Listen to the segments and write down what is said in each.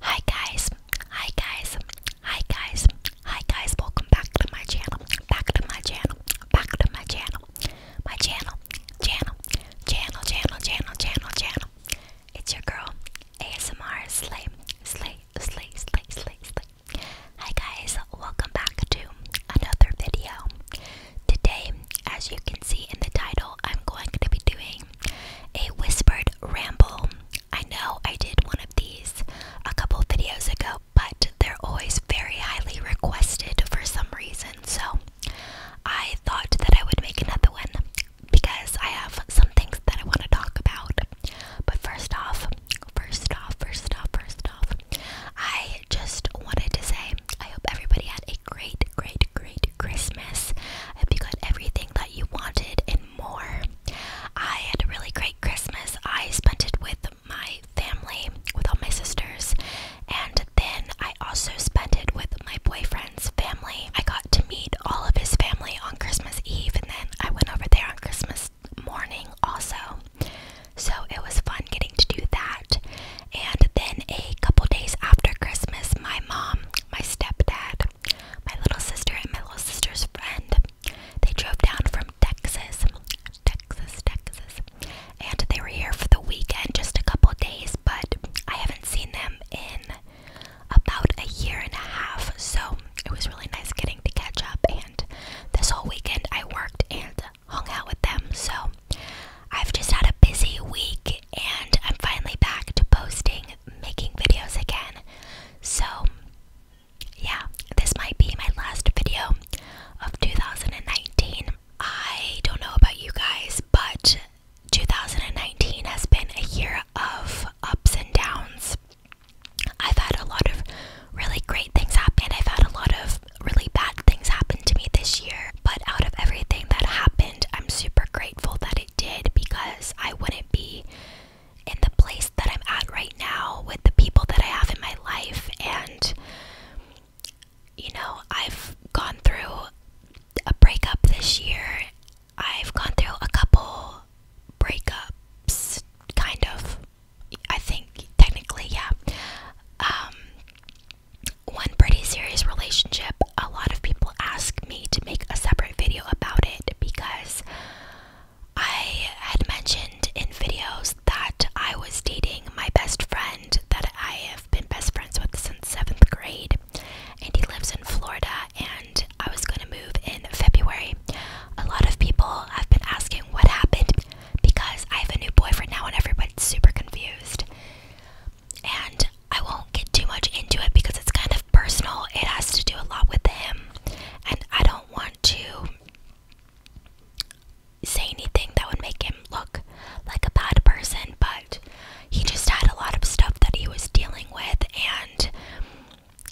Hi guys, hi guys, hi guys, hi guys, welcome back to my channel, back to my channel, back to my channel, my channel, channel, channel, channel, channel, channel, channel. It's your girl, ASMR Slay, Slay, Slay, Slay, Slay, Slay. Hi guys, welcome back to another video. Today, as you can see in the title, I'm going to be doing a whispered ramble. I know I did one of these a couple videos ago, but they're always very highly requested for some reason, so I thought that I would make another one because I have some things that I want to talk about. But first off, first off, first off, first off, I just wanted to say I hope everybody had a great, great, great Christmas. I hope you got everything that you wanted and more. I had a really great Christmas. I spent it with my family, with all my sisters, and then I also spent it with my boyfriend's family. I got to meet all of his family on Christmas Eve, and then I went over there on Christmas morning also. So it was fun getting to do that. And then a couple days after Christmas, my mom, my stepdad, my little sister and my little sister's friend, they drove down from Texas, Texas, Texas, and they were here for the weekend, just a couple days, but I haven't seen them in about a year and a half, so it was really nice getting to catch up, and this whole weekend I worked and hung out with them, so I've just had a busy week and I'm finally back to posting, making videos again. So, yeah, this might be my last video of 2019. I don't know about you guys, but 2019 has been a year of ups and downs. I've had a lot of really great things happen. I've had a lot of really bad things happen to me this year. But out of everything that happened, I'm super grateful that it did because I wouldn't be in the place that I'm at right now with the people that I have in my life. And, you know, I've gone through a breakup this year, I've gone through a couple breakups, kind of. I think technically, yeah. Um, one pretty serious relationship. A lot of people ask me to make a separate video about it because I had mentioned in videos that I was dating my best friend that I have been best friends with since seventh grade, and he lives in Florida. And I was going to move in February. A lot of people have been asking what happened because I have a new boyfriend now, and everybody's super confused and I won't get too much into it because it's kind of personal. It has to do a lot with him, and I don't want to say anything that would make him look like a bad person, but he just had a lot of stuff that he was dealing with, and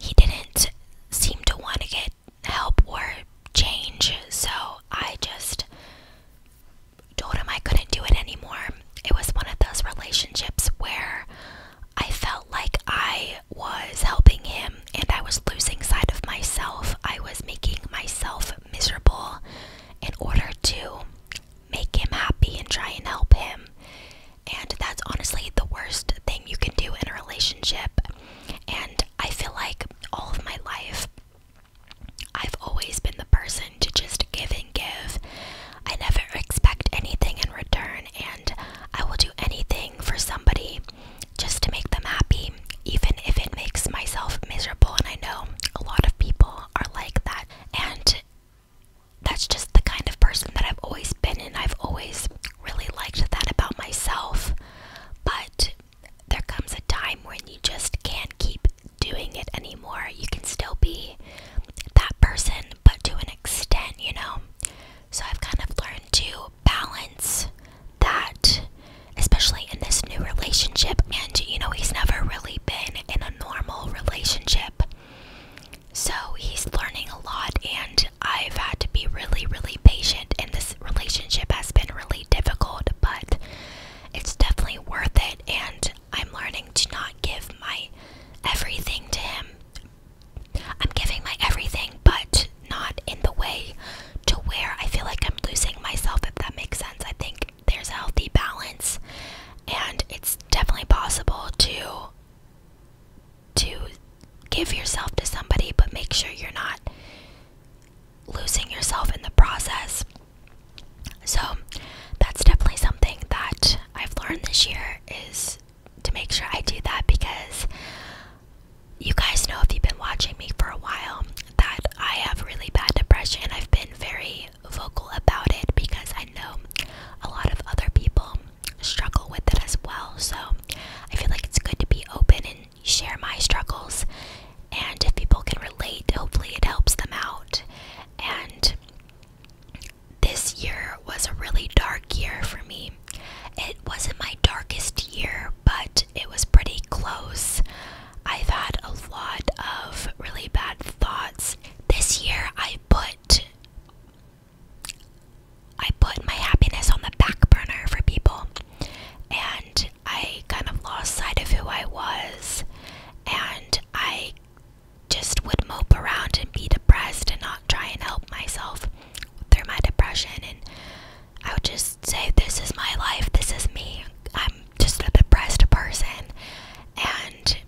he didn't seem to want to get help or change. So I just told him I couldn't do it anymore. It was one of those relationships where I felt like I was helping him and I was losing sight of myself. I was making myself miserable in order to make him happy and try and help him. And that's honestly the worst thing you can do in a relationship. And I feel like all of my life I've always been the person to just give and give. I never expect anything in return, and I will do anything for somebody just to make them happy, even if it makes myself miserable. And I know a lot of people are like that, and that's just the kind of person that I've always been, and I've always really liked that about myself. But there comes a time when you just can't keep doing it anymore. You can still be that person, but to an extent, you know? So I've kind of learned to balance that, especially in this new relationship. And, you know, he's never really been in a normal relationship. So he's learning a lot, and I've had to be really, really patient. And this relationship has been really difficult, but it's definitely worth it and I'm learning to not give my everything to him. I'm giving my everything, but not in the way to where I feel like I'm losing myself, if that makes sense. I think there's a healthy balance, and it's definitely possible to to give yourself to somebody, but make sure you're not losing yourself in the process. So that's definitely something that I've learned this year is to make sure I do that because you guys know if you've been watching me for a while that I have really bad depression. I've been very vocal about it because I know a lot of other people struggle with it as well. So I feel like it's good to be open and share my struggles, and if people can relate, hopefully it helps them out. And this year was a really dark year for me. It wasn't my darkest year, but it was pretty close. I've had a lot of really bad thoughts. This year I put I put my happiness on the back burner for people and I kind of lost sight of who I was, and I just would mope around and be depressed and not try and help myself through my depression. And I would just say, This is my life, this is me, I'm just a depressed person. And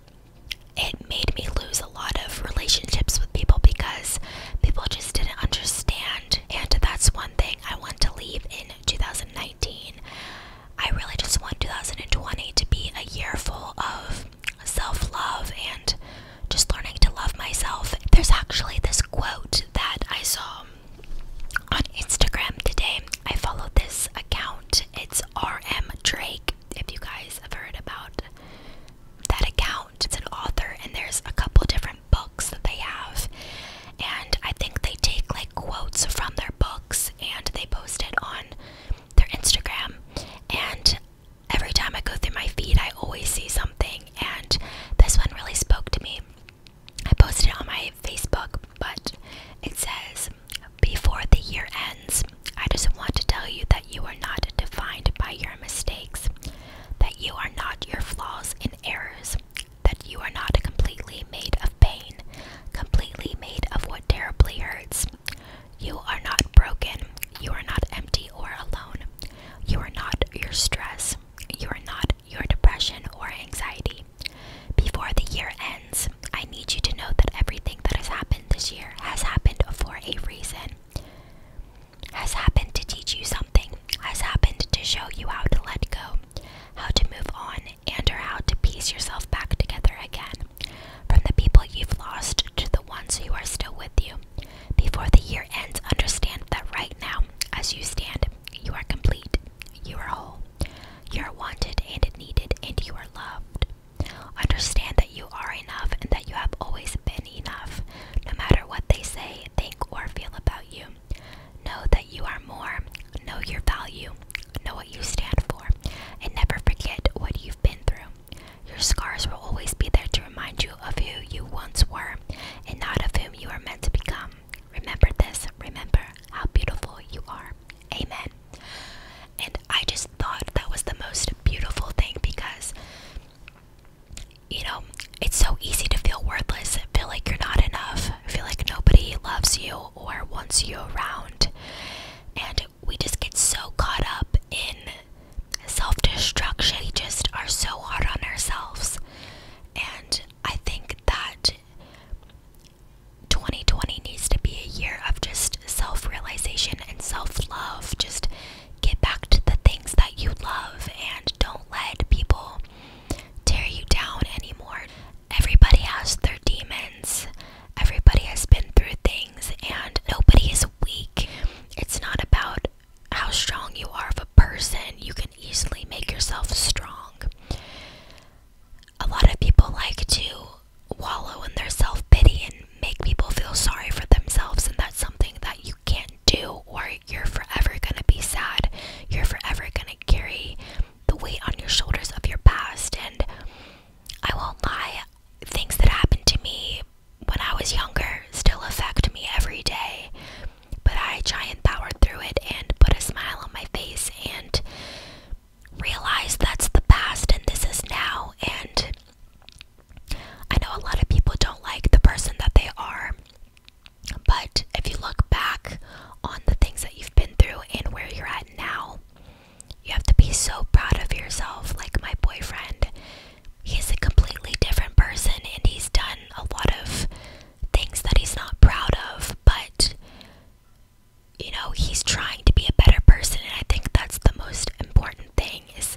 it made me lose a lot of relationships with people because people just didn't understand. And that's one thing I want to leave in 2019 I really just want 2020 to be a year full of self love and just learning to love myself. There's actually this quote that I saw on Instagram today. I followed this account, it's RM Drake. If you guys have heard about that account, it's an author, and there's a couple different books that they have. And I think they take like quotes from their books and they post it on their Instagram. And every time I go through my feed, I always see something. And this one really spoke to me. I posted it on my Facebook, but it says, Before the year ends, I just want to tell you that you are not defined by your mistakes, that you are not your flaws and errors, that you are not completely made of pain, completely made of what terribly hurts. You are not broken. You are not empty or alone. You are not your stress. You are not your depression or anxiety. Before the year ends, I need you to know that everything that has happened this year has happened for a reason, has happened to teach you something, has happened to show you how to let go, how to move on, and or how to piece yourself back together again from the people you've lost to the ones who are still with you. Before the year ends, understand that right now, as you stand, you are complete, you are whole, you are wanted and needed, and you are loved. Understand that you are enough and that you have always been enough, no matter what they say, think, or feel about you. Know that you are more, know your value, know what you stand for, and never forget what you've been through. Your scars will always be there to remind you of who you once were and not of whom you are meant to become. Remember this, remember how beautiful you are. Amen. And I just thought that was the most beautiful thing because you know, it's so easy to feel worthless, feel like you're not enough, feel like nobody loves you or wants you around. And we just get so caught up in self destruction. We just are so hard on ourselves. And I think that 2020 needs to be a year of just self realization and self love. Just get back to the things that you love and don't let people tear you down anymore. Everybody has their demons. Everybody has been through things and nobody is weak. It's not about how strong you are of a person. You can easily make yourself strong. A lot of people like to wallow in their self pity and make people feel sorry for themselves, and that's something that you can't do, or you're forever going to be sad. You're forever going to carry the weight on your shoulders of your past. And I won't lie, things that happened to me when I was younger still affect me every day. But I try and power through it and put a smile on my face and realize that's the past and this is now. And I know a lot of people don't like the person that they are. But if you look back on the things that you've been through and where you're at now, you have to be so proud of yourself. Like my boyfriend, he's a completely different person and he's done a lot of things that he's not proud of, but you know, he's trying to be a better person and I think that's the most important thing is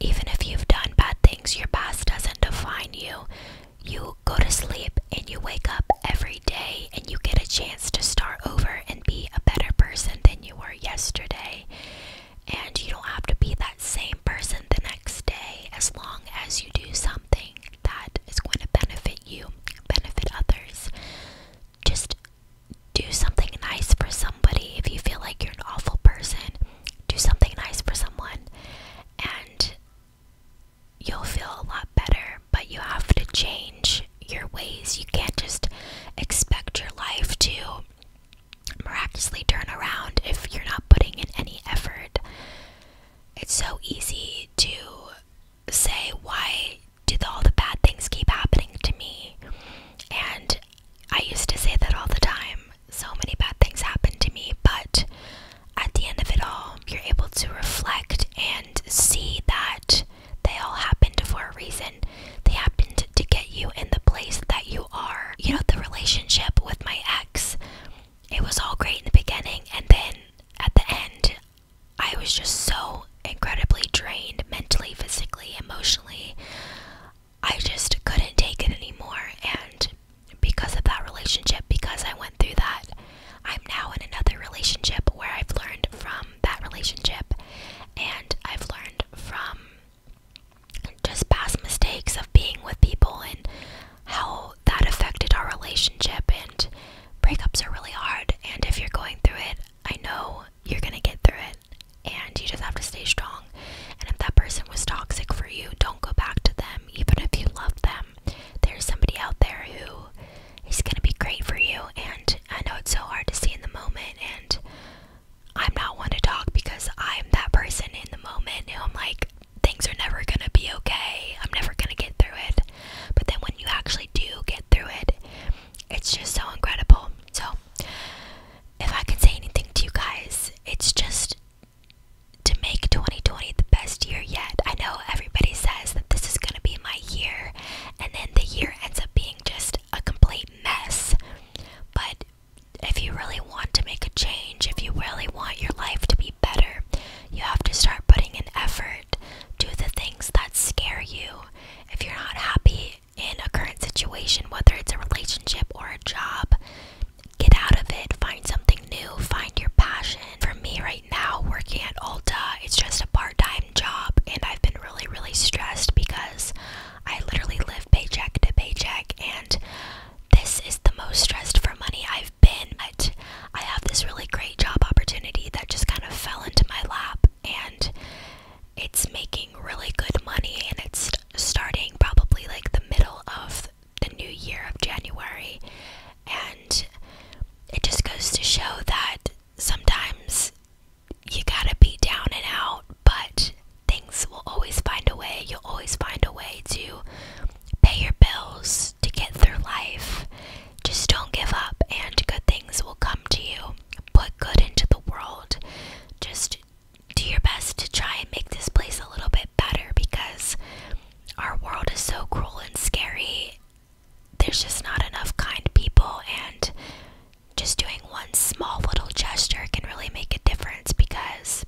even if you've done bad things, your past doesn't define you. You go to sleep and you wake up every day and you get a chance to start over and be a better person than you were yesterday. And you don't have to be that same person the next day as long as you do something that is going to benefit you, benefit others. Just do something nice for somebody if you feel like you're an awful person do something nice for someone and you'll feel a lot better, but you have to change your ways. You can't just expect your life to miraculously turn around if you're not putting in any effort. It's so easy to say, Why do all the bad things keep happening to me? And I used to say that all the time. So many bad things happened to me, but at the end of it all, you're able to reflect and see that they all happened for a reason. They happened to get you in the place that you are. You know, the relationship with my ex, it was all great in the beginning, and then at the end, I was just so incredibly drained mentally, physically, emotionally. I just couldn't take it anymore. And because of that relationship, because I went through that, I'm now in another relationship where I've learned from that relationship and I've learned from just past mistakes of being with people and how that affected our relationship. And breakups are really hard. And if you're going through it, I know you're going to get through it and you just have to stay strong. And if that person was toxic for you, don't go back to them, even if you love them. There's somebody out there who is going to be great for you, and I know it's so hard to see in the moment. And I'm not one to talk because I'm that person in the moment who I'm like, things are never going to be okay, I'm never going to get through it. But then when you actually do get through it, it's just so incredible. So, if I can say anything to you guys, it's just to make 2020 the best year yet. I know everybody says that this is going to be my year, and then the year ends up being just a complete mess. But if you really want to make a change, if you really want your life to be better, you have to start putting in effort. Do the things that scare you. If you're not happy in a current situation, whether it's a relationship or a job. Get out of it, find something new, find your passion. For me right now, working at Ulta, it's just a part time job, and I've been really, really stressed because I literally live paycheck to paycheck, and this is the most stressed for money I've been. But I have this really great job opportunity that just kind of fell into my lap, and it's making really good money and it's starting probably like the middle of the new year of January and it just goes to show that sometimes you gotta be down and out but things will always find a way you'll always find a way to pay your bills to get through life just don't give up and good things will come to you Put good into the world. Just do your best to try and make this place a little bit better because our world is so cruel and scary. There's just not enough kind people, and just doing one small little gesture can really make a difference because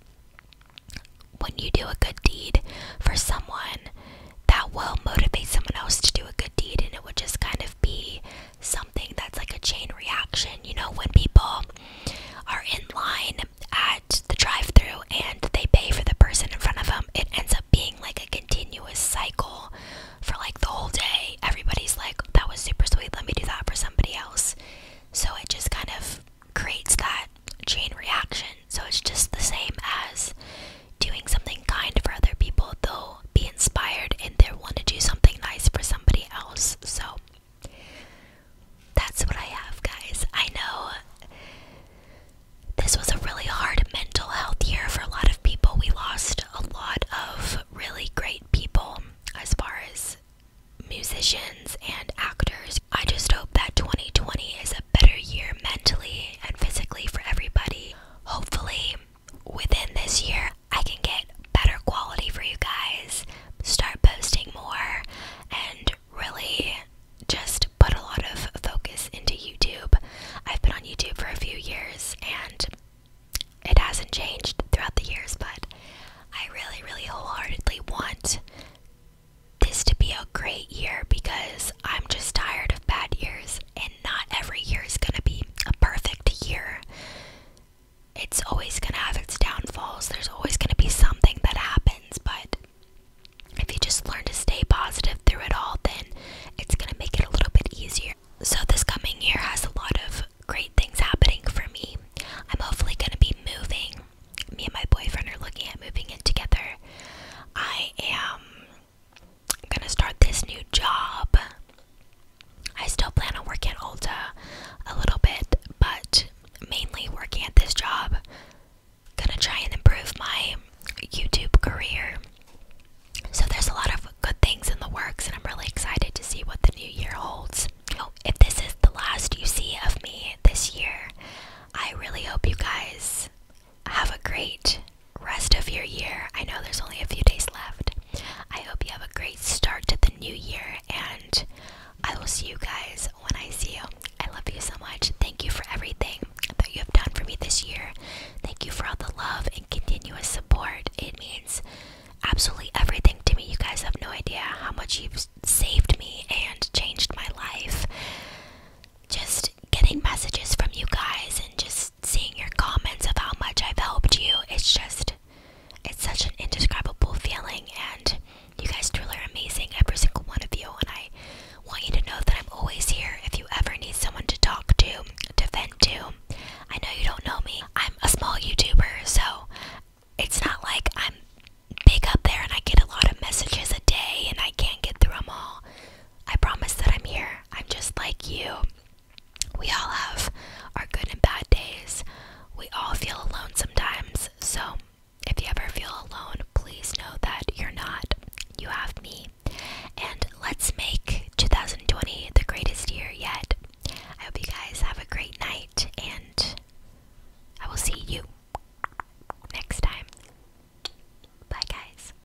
when you do a good deed for someone, that will motivate someone else to do a good deed, and it will just kind of of be something that's like a chain reaction. You know, when people are in line at the drive through and they pay for the person in front of them, it ends up being like a continuous cycle for like the whole day. Everybody's like, that was super sweet, let me do that for somebody else. So it just kind of creates that chain reaction. So it's just the same as doing something kind for other people, though be inspired, and they want to do something nice for somebody else. So that's what I have, guys. I know this was a really hard mental health year for a lot of people. We lost a lot of really great people as far as musicians and actors. I just hope that 2020 is a better year mentally and physically for everybody. Hopefully, within this year, I can get better quality for you guys, start posting more, and really just put a lot of focus into YouTube. I've been on YouTube for a few years and it hasn't changed throughout the years, but I really, really wholeheartedly want this to be a great year because I'm just tired of bad years not every year is going to be a perfect year. It's always going to have its downfalls. There's always going to be something that happens, but if you just learn to stay positive through it all, then it's going to make it a little bit easier. So, this coming year has a lot of great things happening for me. I'm hopefully going to be moving. Me and my boyfriend are looking at moving in together. I am I'm gonna start this new job. I still plan on working at Ulta a little bit, but mainly working at this job. Gonna try and improve my YouTube career. So there's a lot of good things in the works, and I'm really excited to see what the new year holds. Oh, if this is the last you see of me this year, I really hope you guys have a great rest of your year. I know there's only a few days left. I hope you have a great start to the new year, and I will see you guys when I see you. I love you so much. Thank you for everything that you have done for me this year. Thank you for all the love and continuous support. It means absolutely everything to me. You guys have no idea how much you've saved me and changed my life. Just getting messages from you guys and just seeing your comments of how much I've helped you. It's just, it's such an indescribable feeling, and you guys truly are amazing, every single one of you. And I want you to know that I'm always here if you ever need someone to talk to, to vent to. I know you don't know me, I'm a small YouTuber, so it's not like I'm big up there and I get a lot of messages a day and I can't get through them all. I promise that I'm here. I'm just like you. We all have our good and bad days. We all feel alone sometimes. So, if you ever feel alone, please know that you're not. You have me. And let's make 2020 the greatest year yet. I hope you guys have a great night, and I will see you next time. Bye, guys.